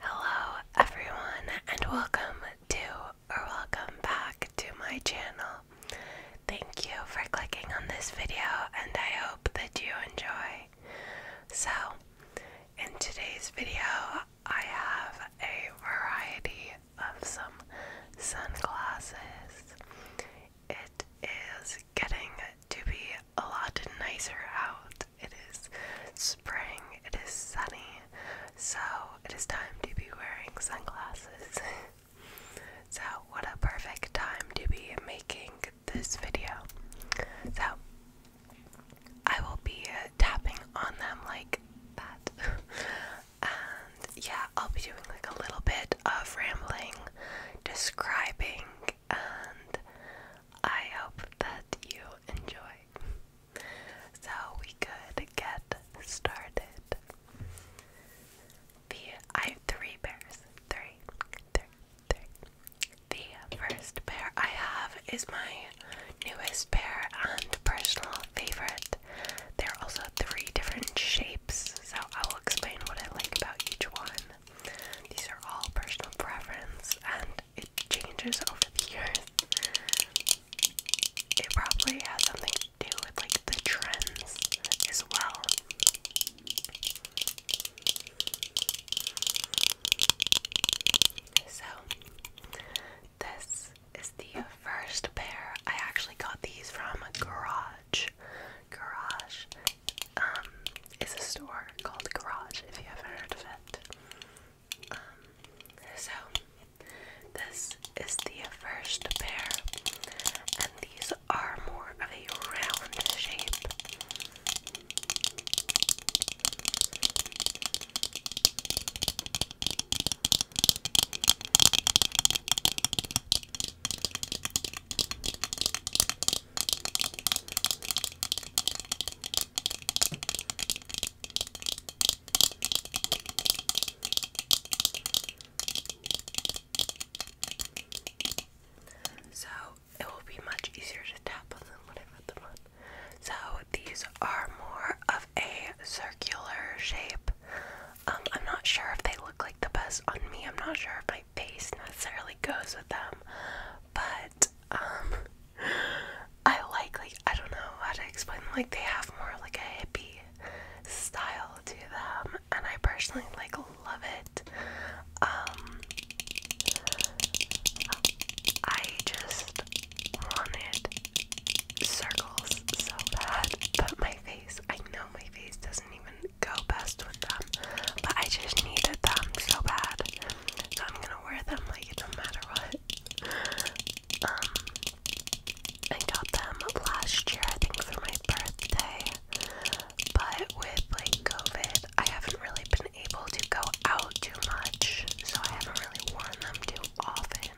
Hello everyone and welcome to or welcome back to my channel. Thank you for clicking on this video and I hope that you enjoy. So, in today's video, I have a variety of some sunglasses. It is getting to be a lot nicer out. It is spring, it is sunny, so it is time to be wearing sunglasses. so, what a perfect time to be making this video. So, I will be tapping on them like that. and yeah, I'll be doing like a little bit of rambling, describing, and I hope that you enjoy. So we could get started. The I have three pairs. Three, three, three. The first pair I have is my newest pair and personal favorite. There are also three different shapes, so I will explain what I like about each one. These are all personal preference and it changes over the years. It probably has something to do with like the trends as well. So, this is the first pair. I actually got these from Garage. Garage um, is a store called Garage if you haven't heard of it. Um, so this is the first pair, and these are more of a round shape. So it will be much easier to tap on them when I put them on. So these are more of a circular shape. Um, I'm not sure if they look like the best on me. I'm not sure if my face necessarily goes with them, but um, I like like I don't know how to explain like they have more like a hippie style to them and I personally like love it. Um, I just wanted circles so bad, but my face I know my face doesn't even go best with them, but I just needed them so bad. I'm gonna wear them like no matter what. Um, I got them last year, I think, for my birthday, but with like COVID, I haven't really been able to go out too much, so I haven't really worn them too often,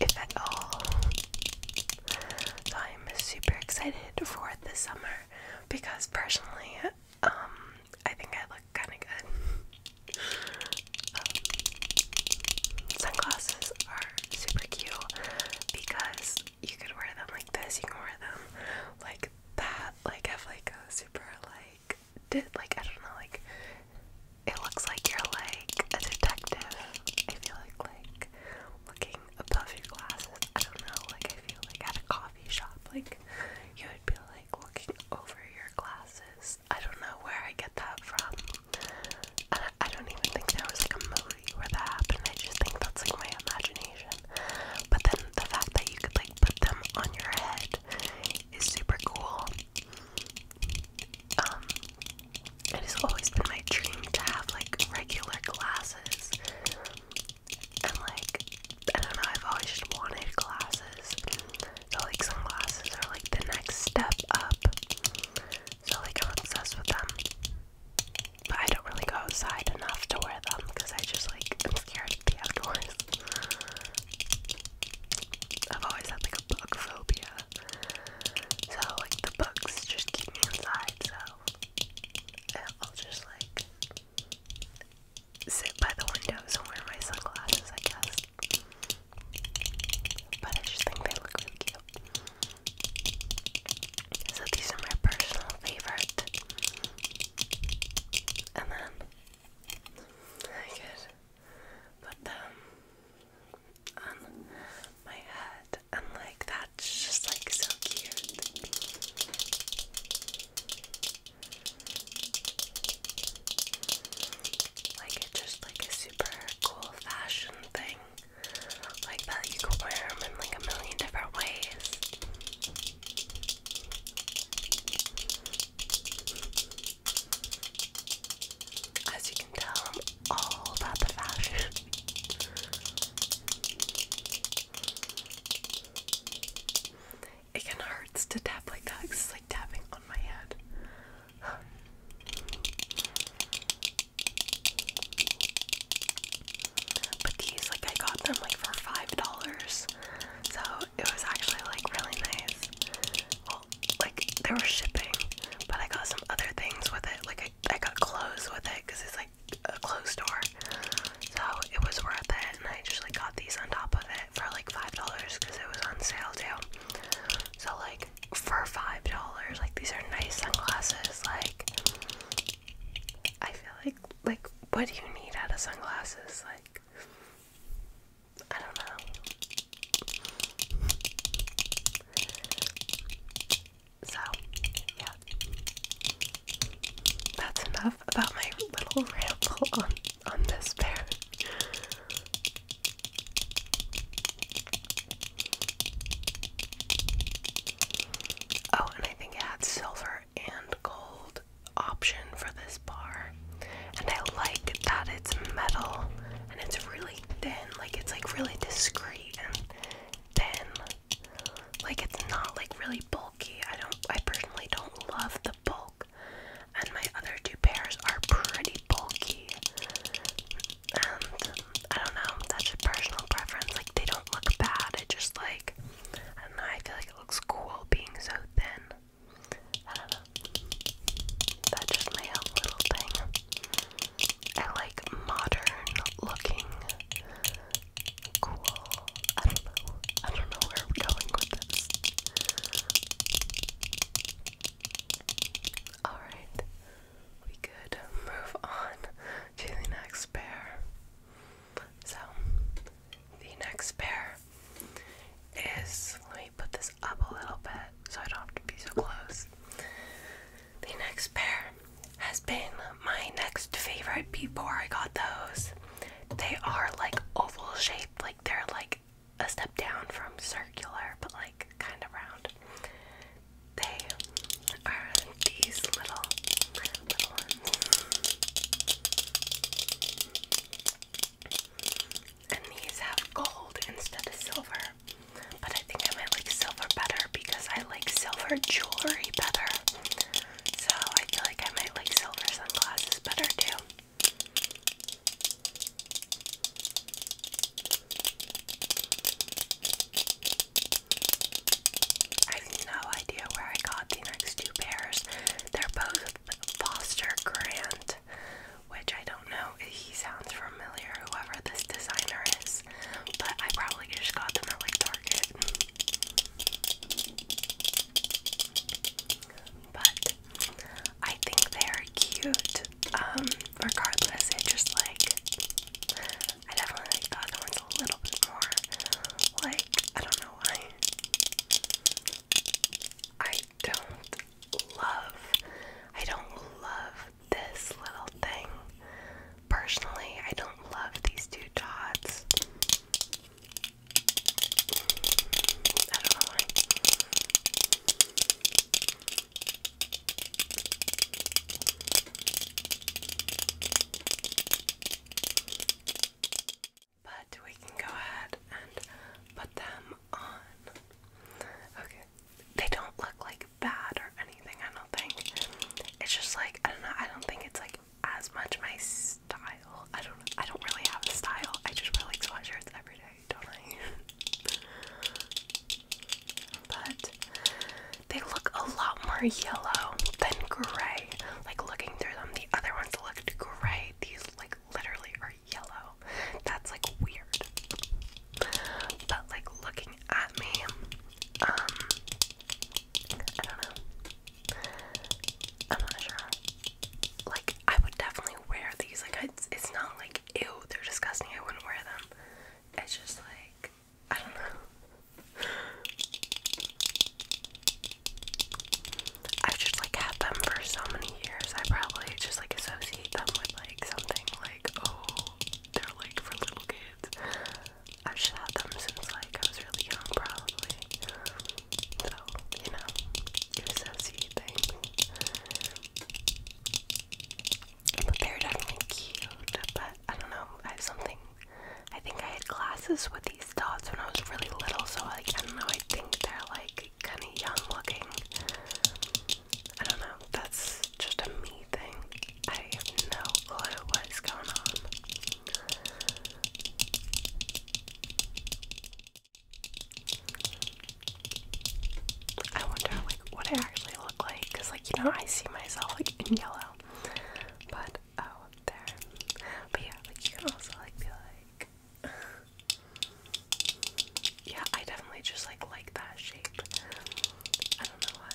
if at all. So I'm super excited for this summer because personally, um, I think I look kind of good. Um, sunglasses are super cute because you could wear them like this. You could wear them like that. Like have like a super like did like I don't know like it looks like you're like a detective. I feel like like looking above your glasses. I don't know. Like I feel like at a coffee shop, like you would be like like looking over your glasses. I don't know where I get that from. I, don't even think there was like a movie where that happened. I just think that's like my imagination. But then the fact that you could like put them on your head is super cool. Um, it has always been my dream to have like regular glasses. And like I don't know, I've always just wanted glasses. So, like, sunglasses are like the next step up. So, like, I'm obsessed with them. But I don't really go outside enough to wear them because I just, like, i am scared of the outdoors. I've always had, like, a bug phobia. So, like, the bugs just keep me inside, so I'll just, like, sit by the windows and wear my sunglasses, I guess. But I just think they look really cute. So these are my personal favorite. And then I could put them on my head, and like that's just like so cute. Like it's just like a super cool fashion thing. Like that you can wear them in like a million different ways. As you can tell, all about the fashion. It can hurt to tap like that. It's like tapping on my head. But these, like, I got them like for five dollars, so it was actually like really nice. Well, like they were shipping, but I got some other things with it. Like I got clothes with it because it's like a clothes store. So it was worth it, and I just like got these on top of it for like five dollars because it was on sale too. So like for five dollars, like these are nice sunglasses. Like I feel like like what do you need out of sunglasses? Like I don't know. So yeah, that's enough about my little ramble on on this pair. Oh, and I think it had silver and gold option for this bar. And I like that it's metal and it's really thin, like it's like really discreet and thin. Like it's not like really bulky. I don't I personally don't love the bulk and my other two pairs are pretty bulky. And I don't know, that's a personal preference. Like they don't look bad. It just like I don't know. I feel like it looks cool being so thin. I don't know. That's just my own little thing. I like modern looking, cool I don't know. I don't know where I'm going with this. Alright, we could move on to the next pair. So, the next pair is. Let me put this up a little bit so I don't have to be so close. The next pair has been my next favorite before I got those. They are like oval shaped like they're like a step down from circular, but like kind of round. They are these little little ones. And these have gold instead of silver. But I think I might like silver better because I like silver jewelry better. So I feel like I might like silver sunglasses better too. I have no idea where I got the next two pairs. They're both Foster Grant, which I don't know. He sounds familiar, whoever this designer is, but I probably just got them at like Target. But I think they are cute. Um, regardless, I just like I definitely like the other ones a little bit more. Like, I don't know why. I don't love I don't love this little thing. Personally, I don't love these two dots. But we can go ahead and put them on. Okay. They don't look like bad or anything, I don't think. It's just like, I don't know, I don't think it's like as much my style. I don't I don't really have a style. I just wear like sweatshirts every day, don't I? but they look a lot more yellow than gray. Like looking through them, the other ones looked gray. These like literally are yellow. That's like weird. But like looking at me, um I don't know. I'm not sure. Like, I would definitely wear these. Like, it's, it's not like, ew, they're disgusting, I wouldn't wear them. It's just like, I don't know. I've just like had them for so many years. I probably just like associate them with like something like, oh, they're like for little kids. I've just had them since like I was really young, probably you know, you associate things. But they were definitely cute, but I don't know, I have something. I think I had classes with these dots when I was really little, so like, I don't know, I think they're like kind of young looking. I don't know, that's just a me thing. I have no clue what is going on. I wonder like what I actually look like cuz like you know I see myself like in yellow but oh there but yeah like you can also like be like yeah I definitely just like like that shape I don't know why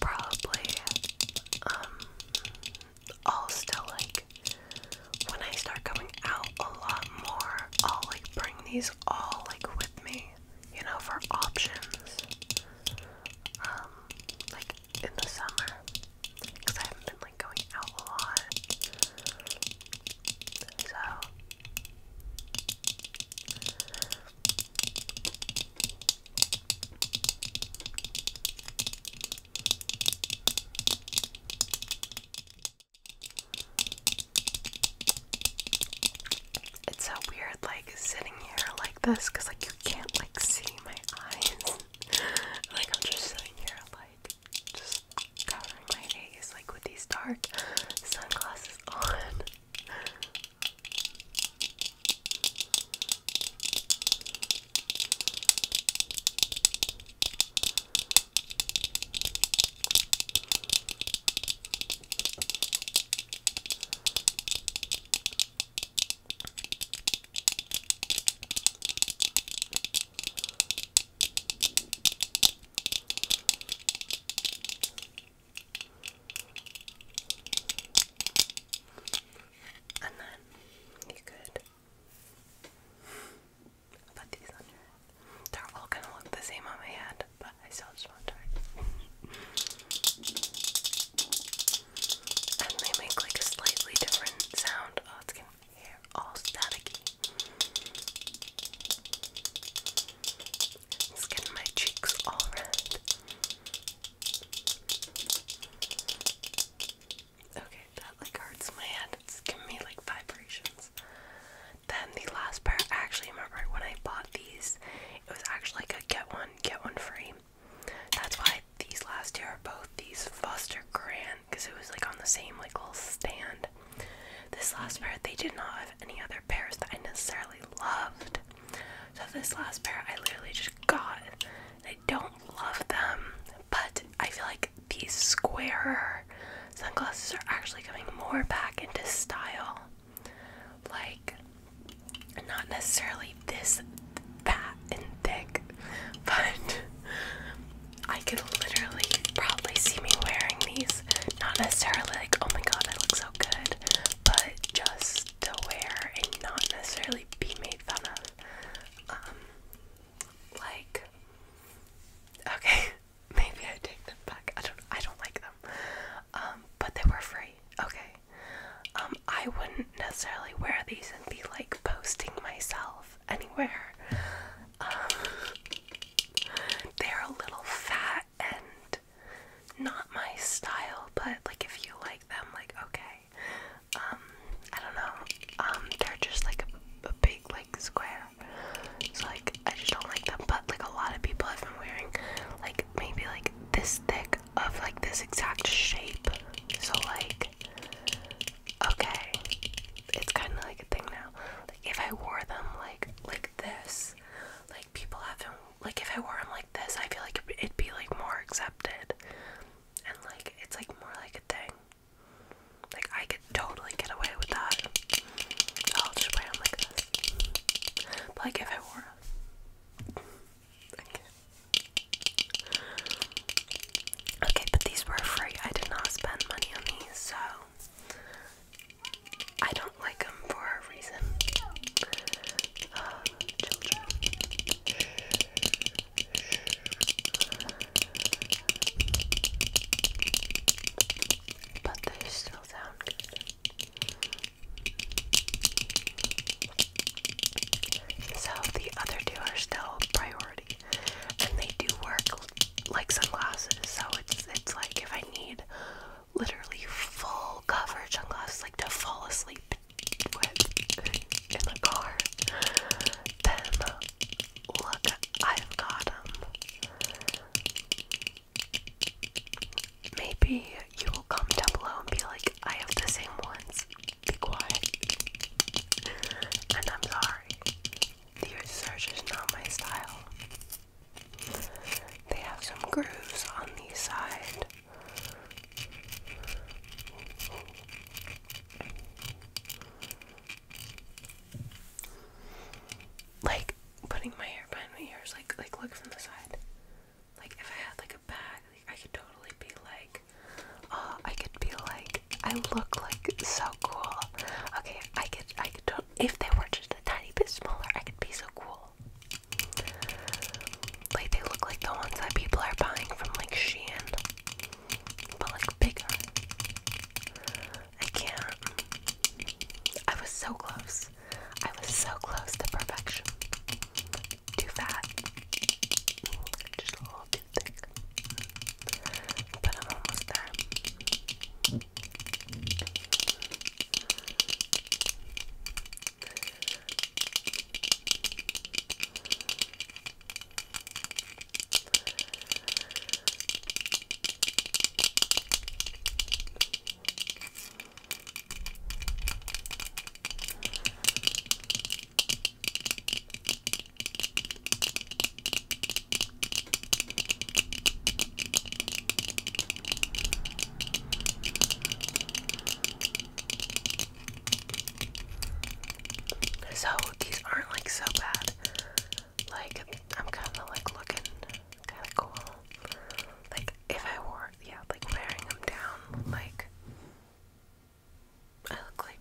Probably, um, I'll still like when I start coming out a lot more, I'll like these all like with me, you know, for options. Um, like in the summer, because I haven't been like going out a lot. So it's so weird, like sitting here like this, cause like you can't like see my eyes. like I'm just sitting here, like just covering my face, like with these dark sunglasses on. And then you could I'll these under. they all gonna look the same on my head, but I still just want to And they make like a slightly different sound. Oh, it's getting hair all staticky. It's getting my cheeks all red. Okay, that like hurts my head. It's giving me like vibrations. Then the last pair, I actually remember when I bought these, it was actually like a get one, get one free. That's why these last two are both these Foster Grand, because it was like on the same like little stand. This last pair, they did not have any other pairs that I necessarily loved. So this last pair, I literally just got. I don't love them, but I feel like these square sunglasses are actually coming more back into style. Like, not necessarily this fat and thick, but I could literally probably see me wearing these. Not necessarily like, oh my god, I look so good, but just to wear and not necessarily be made fun of. Um, like, okay, maybe I take them back. I don't I don't like them. Um, but they were free. Okay. Um, I wouldn't necessarily wear these and be like posting myself anywhere. Um, they're a little fat and not my style, but like if you like them, like okay. I don't know. they're just like a big like square so like I just don't like them. But like a lot of people have been wearing like maybe like this thick of like this exact shape. So like okay. It's kinda like a thing now. Like if I wore them like like this, like people haven't like if I wore them like this, I feel like it'd be like more accepted. And like it's like more like a thing. Like I could totally get away with that. I'll just wear them like this. But like if I wore Okay. but these were free. I did not spend money on these, so I don't like them for a reason. children but they still sound good. So the other two are still priority, and they do work like sunglasses. So it's it's like if I need literally full coverage sunglasses, like to fall asleep in the car, then look, I've got them. Maybe you will come down below and be like, I have the same ones. Be quiet. And I'm sorry. the search is not my style. They have some grooves on the side. Like putting my hair behind my ears, like like look from the side. Like if I had like a bag, like, I could totally be like, oh, I could be like, I look like so cool. Okay, I could I could to if they were just a tiny bit smaller, I could be so cool. Like they look like the ones that people are buying from like Shein, but like bigger. I can't. I was so close. I was so close to perfection. Too fat. Just a little too thick. But I'm almost there. So these aren't like so bad. Like I'm kind of like looking kind of cool. Like if I wore, yeah, like wearing them down, like I look like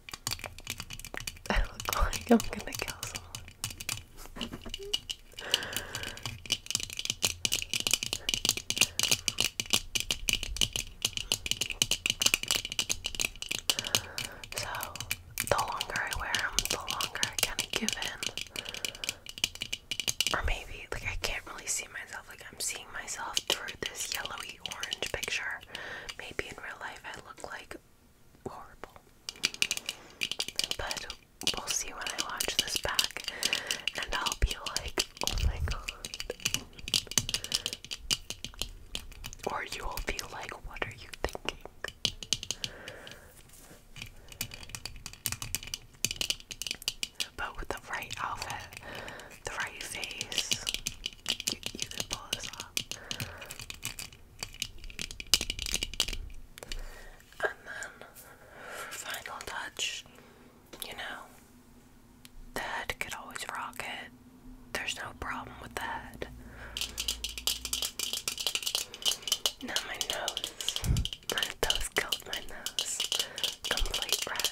I look like I'm gonna kill someone. so the longer I wear them, the longer I kind of give in. Or maybe, like, I can't really see myself. Like, I'm seeing myself through this yellowy orange picture. Maybe in real life I look like horrible. But we'll see when I watch this back, and I'll be like, oh my god. Or you'll feel like, what are you thinking? But with the right outfit, the right face, you, can pull this off. And then, final touch, you know, the could always rock it. There's no problem with that. Now my nose. Those killed my nose. Complete red.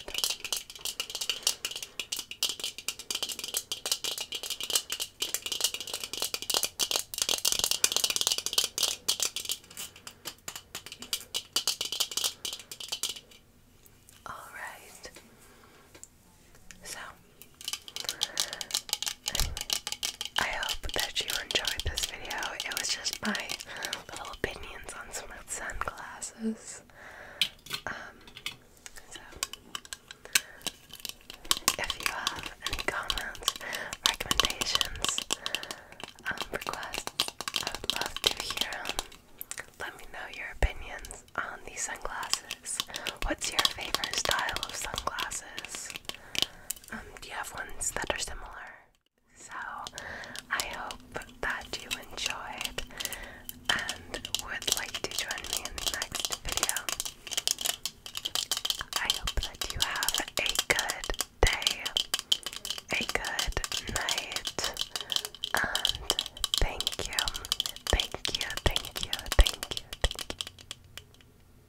All right. So I hope that you enjoyed this video. It was just my little opinions on some sunglasses. Um, so, if you have any comments, recommendations, um, requests, I would love to hear them. Let me know your opinions on these sunglasses. What's your favorite style of sunglasses? Um, do you have ones that are similar? So I hope that you enjoyed and would like to join me in the next video. I hope that you have a good day, a good night, and thank you, thank you, thank you, thank you, thank you.